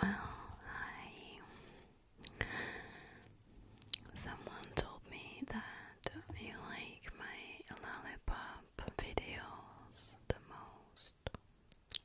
Well, I. Someone told me that you like my lollipop videos the most.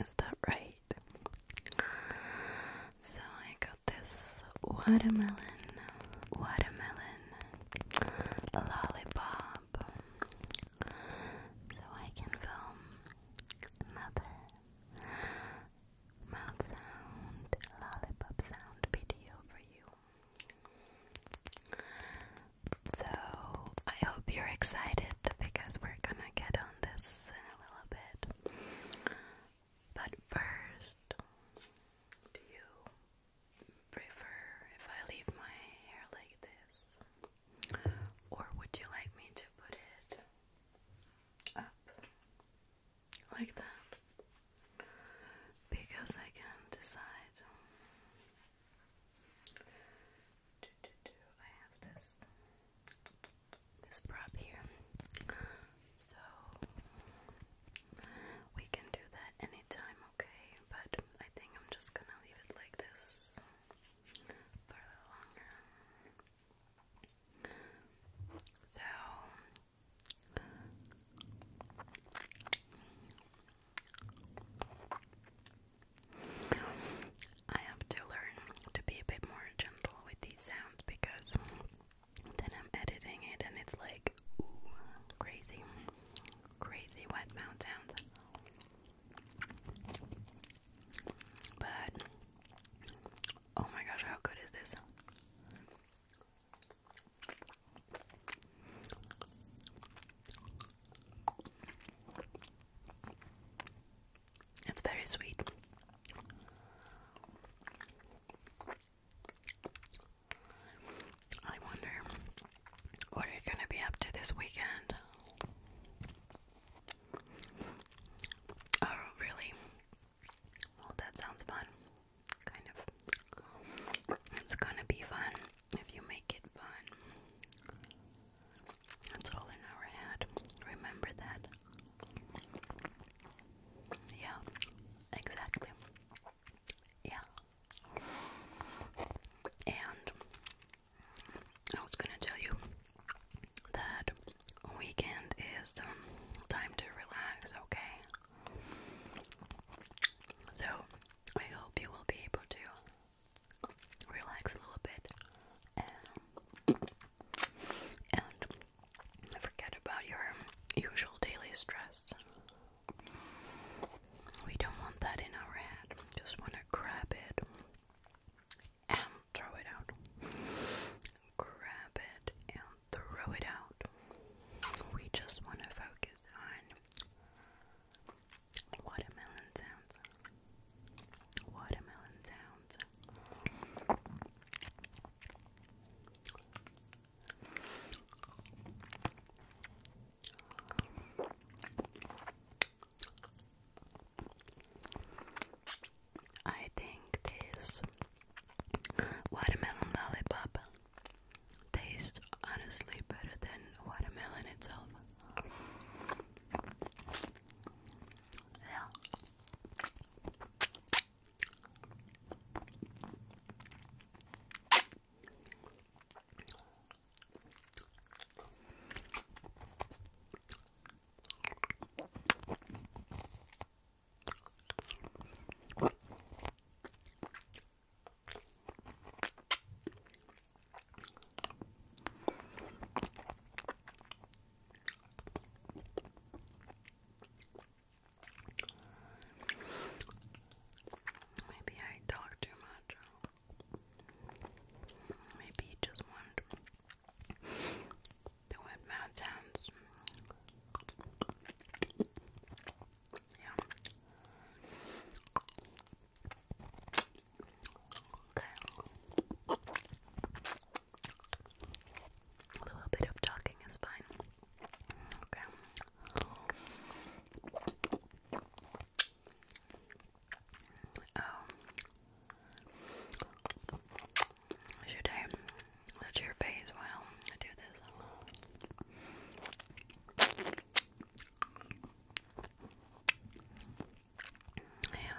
Is that right? So I got this watermelon, watermelon lollipop so I can film another mouth sound, lollipop sound video for you. So I hope you're excited because we're gonna get on this in a little bit. But first, do you prefer if I leave my hair like this? Or would you like me to put it up like that? Because I can't decide. Do, do, do. I have this this prop here, so we can do that anytime, okay? But I think I'm just gonna leave it like this for a So I have to learn to be a bit more gentle with these sounds because then I'm editing it and it's like crazy crazy wet mouth sounds. But oh my gosh, how good is this? It's very sweet. I wonder what are you going to be up to this weekend? Oh, really? Well, that sounds fun. Kind of. It's gonna be fun if you make it fun. That's all an hour had. Remember that. Yeah, exactly. Yeah. And I was gonna tell you that weekend is um, time to relax, okay? So I hope you will be able to relax a little bit and, and forget about your usual daily stress. We don't want that in our head. Just want to grab it and throw it out. Grab it and throw it out. We just want to focus on watermelon sounds. Watermelon sounds. I think this watermelon lollipop tastes honestly better than watermelon itself. Yeah. Maybe I talk too much. Maybe you just want the wet mouth sounds. Yeah. Okay. A little bit of talking is fine. Okay. Oh. Should I touch your face while I do this? Yeah.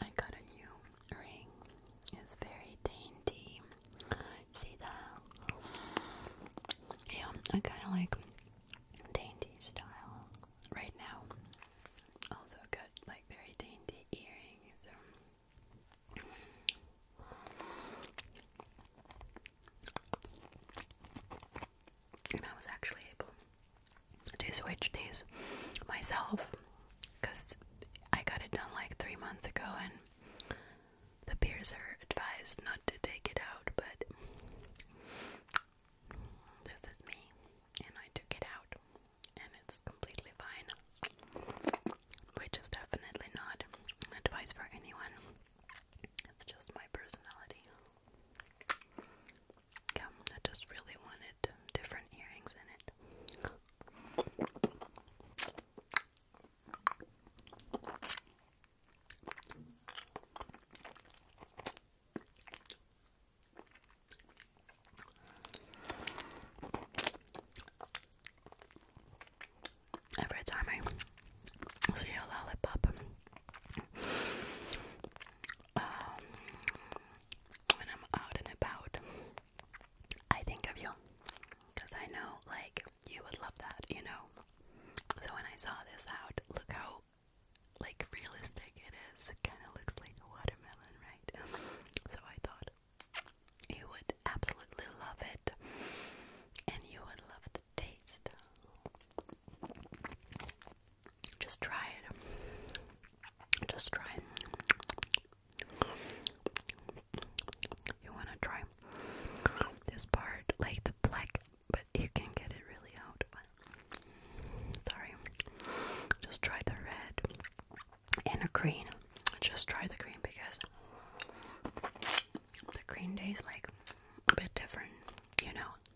I got a new ring. It's very dainty. See that? Yeah, I kind of like dainty style right now. Also got like very dainty earrings and I was actually able to switch these myself because I got it done like three months ago, and the peers are advised not to take it out, but this is me, and I took it out, and it's completely fine, which is definitely not advice for anyone. It's just my personality. I just really wanted different earrings in it. Every time I see a lollipop, um, when I'm out and about, I think of you because I know, like, you would love that, you know. So when I saw this out, look how like realistic it is. kind of looks like a watermelon, right? So I thought you would absolutely love it, and you would love the taste. Just try it. Just try it. You want to try this part, like the black, but you can get it really out. sorry. Just try the red and a green. Just try the green because the green day is like a bit different, you know.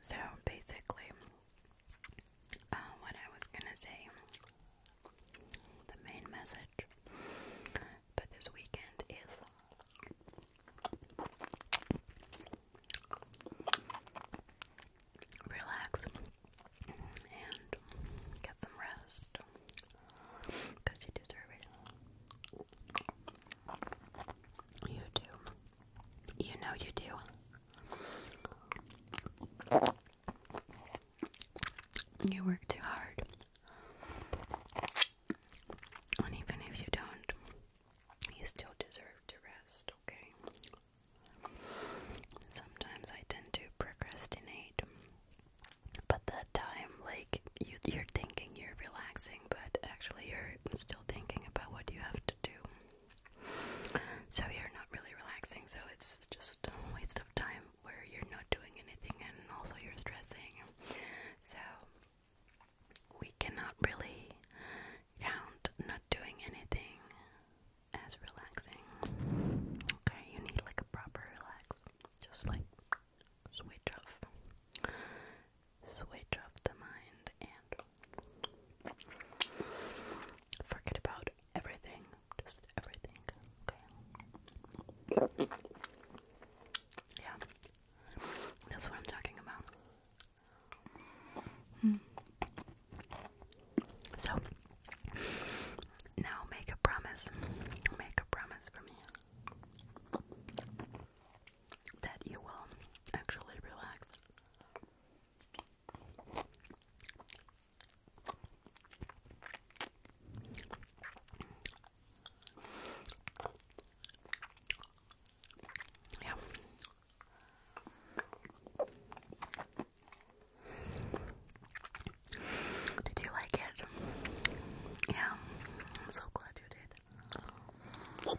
So basically, uh, what I was gonna say, the main message for this weekend is relax and get some rest because you deserve it. You do. You know you do. You work too hard. And even if you don't, you still deserve to rest, okay? Sometimes I tend to procrastinate. But that time, like, you, are thinking you're relaxing, but actually you're still thinking about what you have to do. So you're not really relaxing, so it's just a waste of time where you're not doing anything and also you're stressing. So we cannot really count not doing anything as relaxing. Okay, you need like a proper relax. Just like switch off switch off the mind and forget about everything. Just everything. Yeah. That's what I'm talking about. Hmm. So now make a promise. Make a promise for me that you will actually relax. Yeah. Did you like it? Yeah, I'm so glad you did.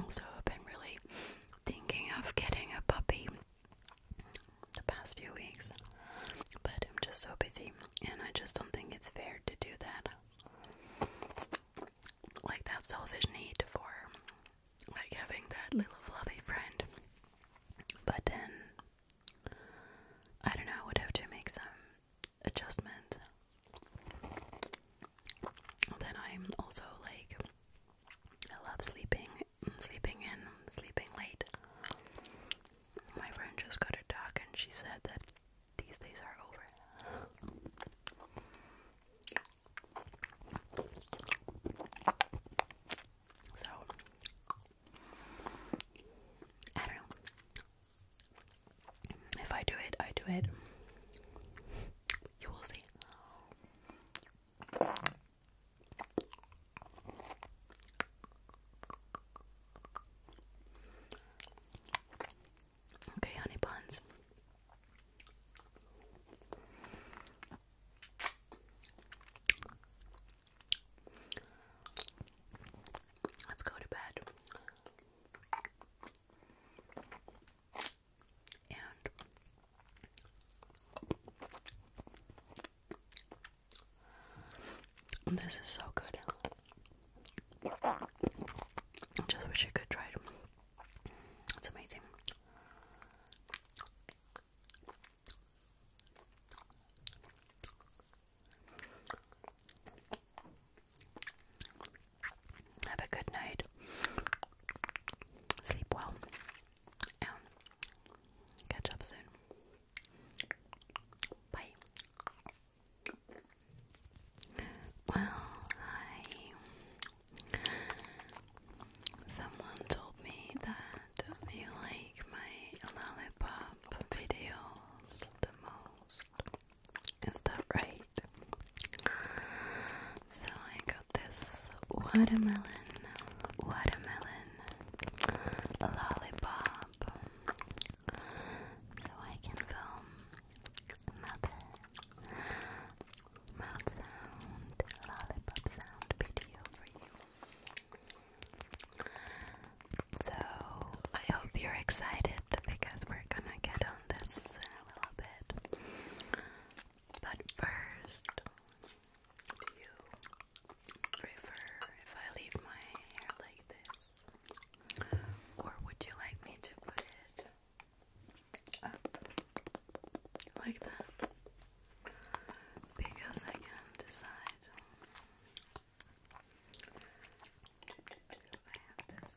Also, I've been really thinking of getting a puppy the past few weeks, but I'm just so busy, and I just don't think it's fair to do that like that selfish need for like having that little fluffy friend. But then I don't know, I would have to make some adjustments. Then I'm also like I love sleeping sleeping in, sleeping late. My friend just got a dog and she said that these days are over. So, I don't know. If I do it, I do it. You will see. Okay, honeybuns. Let's go to bed. And this is so good. I Just wish I could try them. It's amazing. Have a good night. Sleep well. catch up soon. Bye. Well, I. Someone told me that you like my lollipop videos the most. Is that right? So I got this watermelon, watermelon lollipop so I can film another mouth sound, lollipop sound video for you. So, I hope you're excited because we're gonna get on this in a little bit. But first, do you prefer if I leave my hair like this? Or would you like me to put it up like that? Because I can't decide. I have this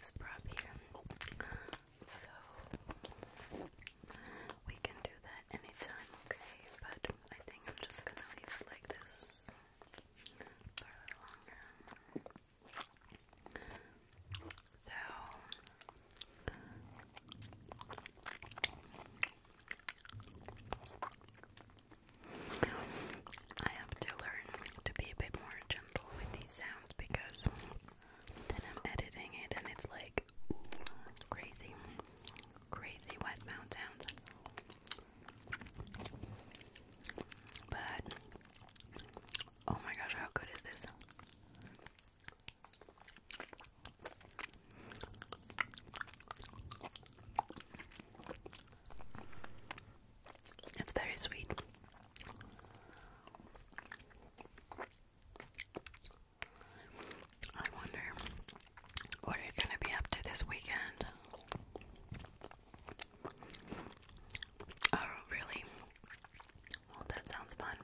this prop here. So we can do that anytime, okay? But I think I'm just gonna leave it like this for a So I have to learn to be a bit more gentle with these sounds because then I'm editing it and it's like crazy, crazy wet mouth sounds. But oh my gosh, how good is this? It's very sweet. I wonder what are you going to be up to this weekend? Oh, really? Well, that sounds fun.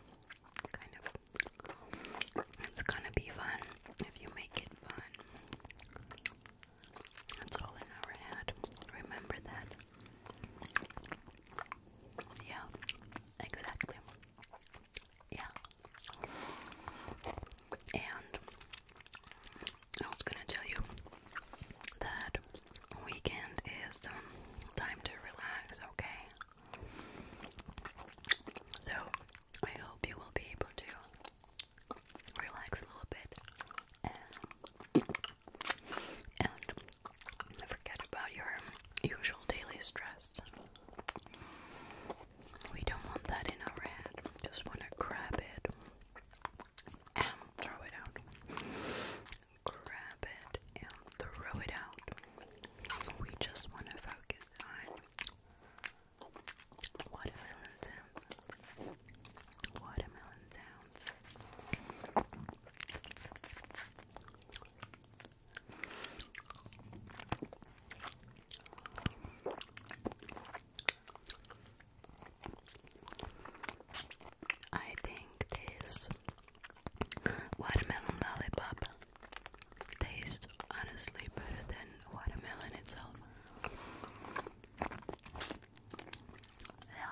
Kind of. It's gonna be fun if you make it fun. That's all an hour had. Remember that. Yeah, exactly. Yeah. And I was gonna tell you that weekend is um, time to relax, okay? So I hope you will be able to relax a little bit and and forget about your usual daily stress. We don't want that in our head. Just want to grab it and throw it out. Grab it and throw it out. We just want to focus on watermelon sounds. Watermelon sounds. I think this watermelon lollipop tastes honestly better than watermelon itself. Yeah.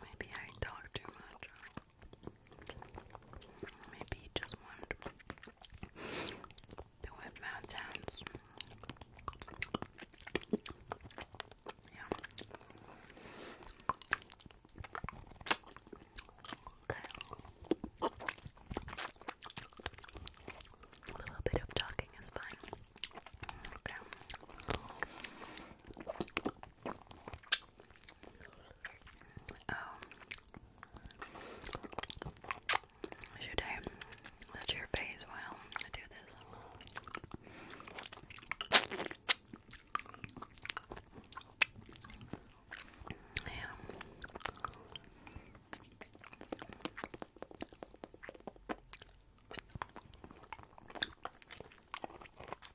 Maybe I talk too much. Maybe just wanted to whip mad sounds. Yeah. Okay. A little bit of talking is fine. Okay. Um, should let your face while I do this?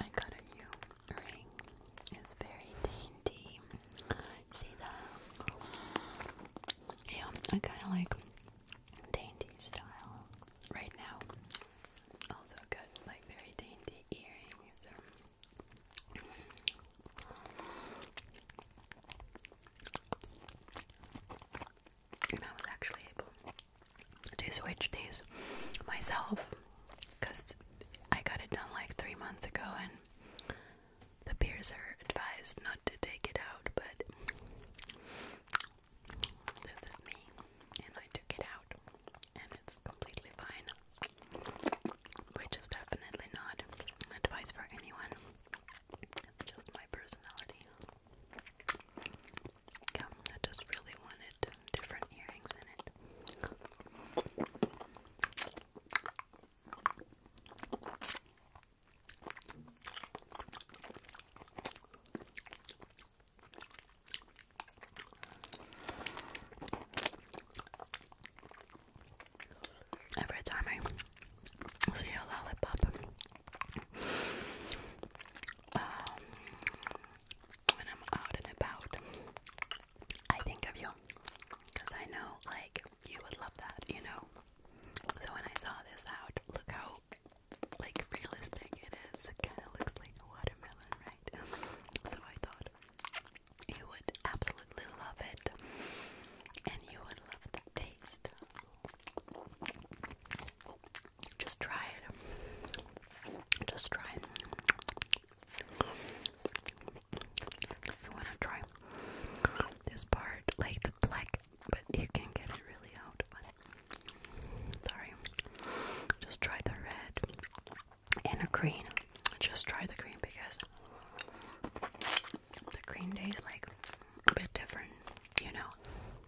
I got a new ring. It's very dainty. See that? Yeah, I kind of like dainty style right now. Also got like very dainty earrings and I was actually able to switch these myself because I got it done like three months ago, and the peers are advised not to take it out, but this is me, and I took it out, and it's completely fine, which is definitely not advice for anyone. It's just my personality. I just really wanted different earrings in it. Every time I see a lollipop, um, when I'm out and about, I think of you because I know like you would love that, you know. So when I saw this out, look how like realistic it is. It kind of looks like a watermelon, right? So I thought you would absolutely love it, and you would love the taste. Just try it. Just try it. you want to try this part, like the but you can get it really out. sorry. Just try the red and the green. Just try the green because the green day like a bit different, you know.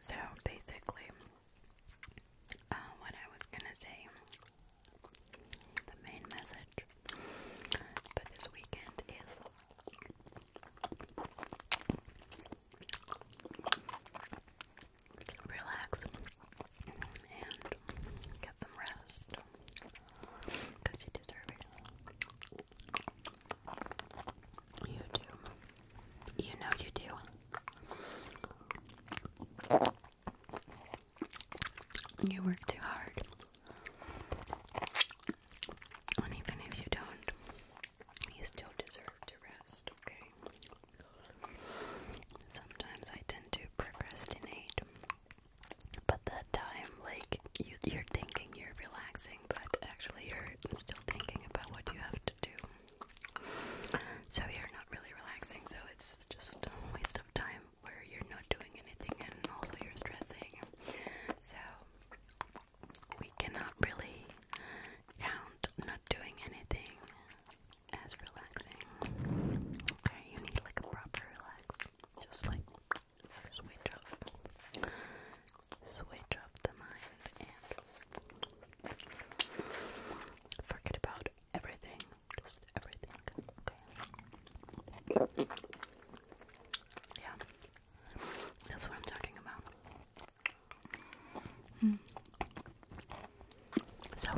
So basically, uh, what I was gonna say, the main message this weekend is. Relax and get some rest because you deserve it. You do. You know you do. You work too hard. And even if you don't, you still deserve to rest, okay? Sometimes I tend to procrastinate. But that time, like, you, are thinking you're relaxing, but actually you're still thinking about what you have to. So you're not really relaxing, so it's just a waste of time where you're not doing anything and also you're stressing. So we cannot really count not doing anything as relaxing. Okay, you need like a proper relax. Just like switch off switch off the mind and forget about everything. Just everything. Yeah. That's what I'm talking about. Hmm. So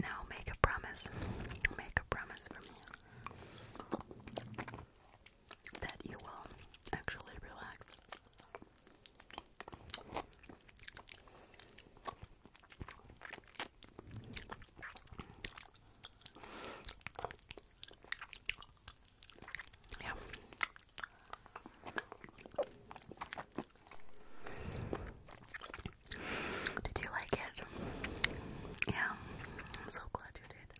now make a promise. Make a promise for me that you will actually relax. Yeah. Did you like it? Yeah, I'm so glad you did.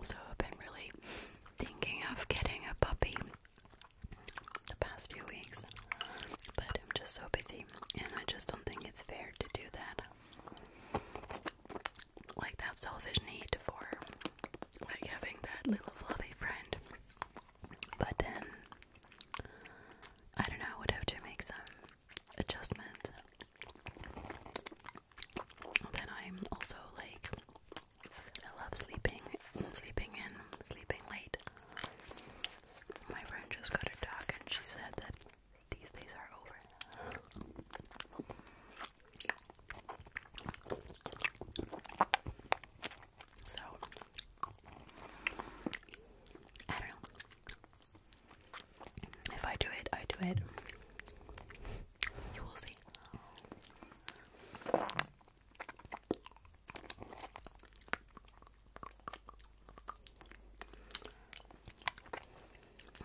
Also, I've been really thinking of getting a puppy the past few weeks, but I'm just so busy and I just don't think it's fair to do that like that selfish need for like having that little fluffy friend. But then I don't know, I would have to make some adjustments. Then I'm also like I love sleeping sleeping in, sleeping late. My friend just got a dog, and she said that these days are over. So, I don't know. If I do it, I do it. You will see.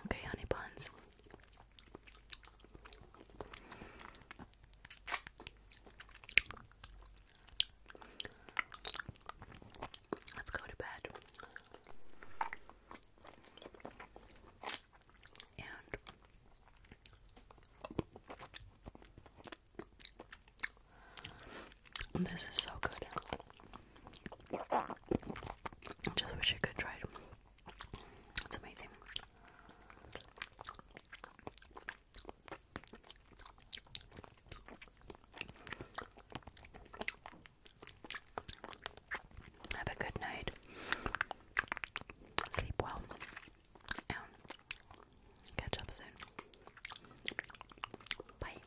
Okay, honey buns. Let's go to bed. And this is so good. I Just wish I could try it. It's amazing. Have a good night. Sleep well. catch up soon. Bye.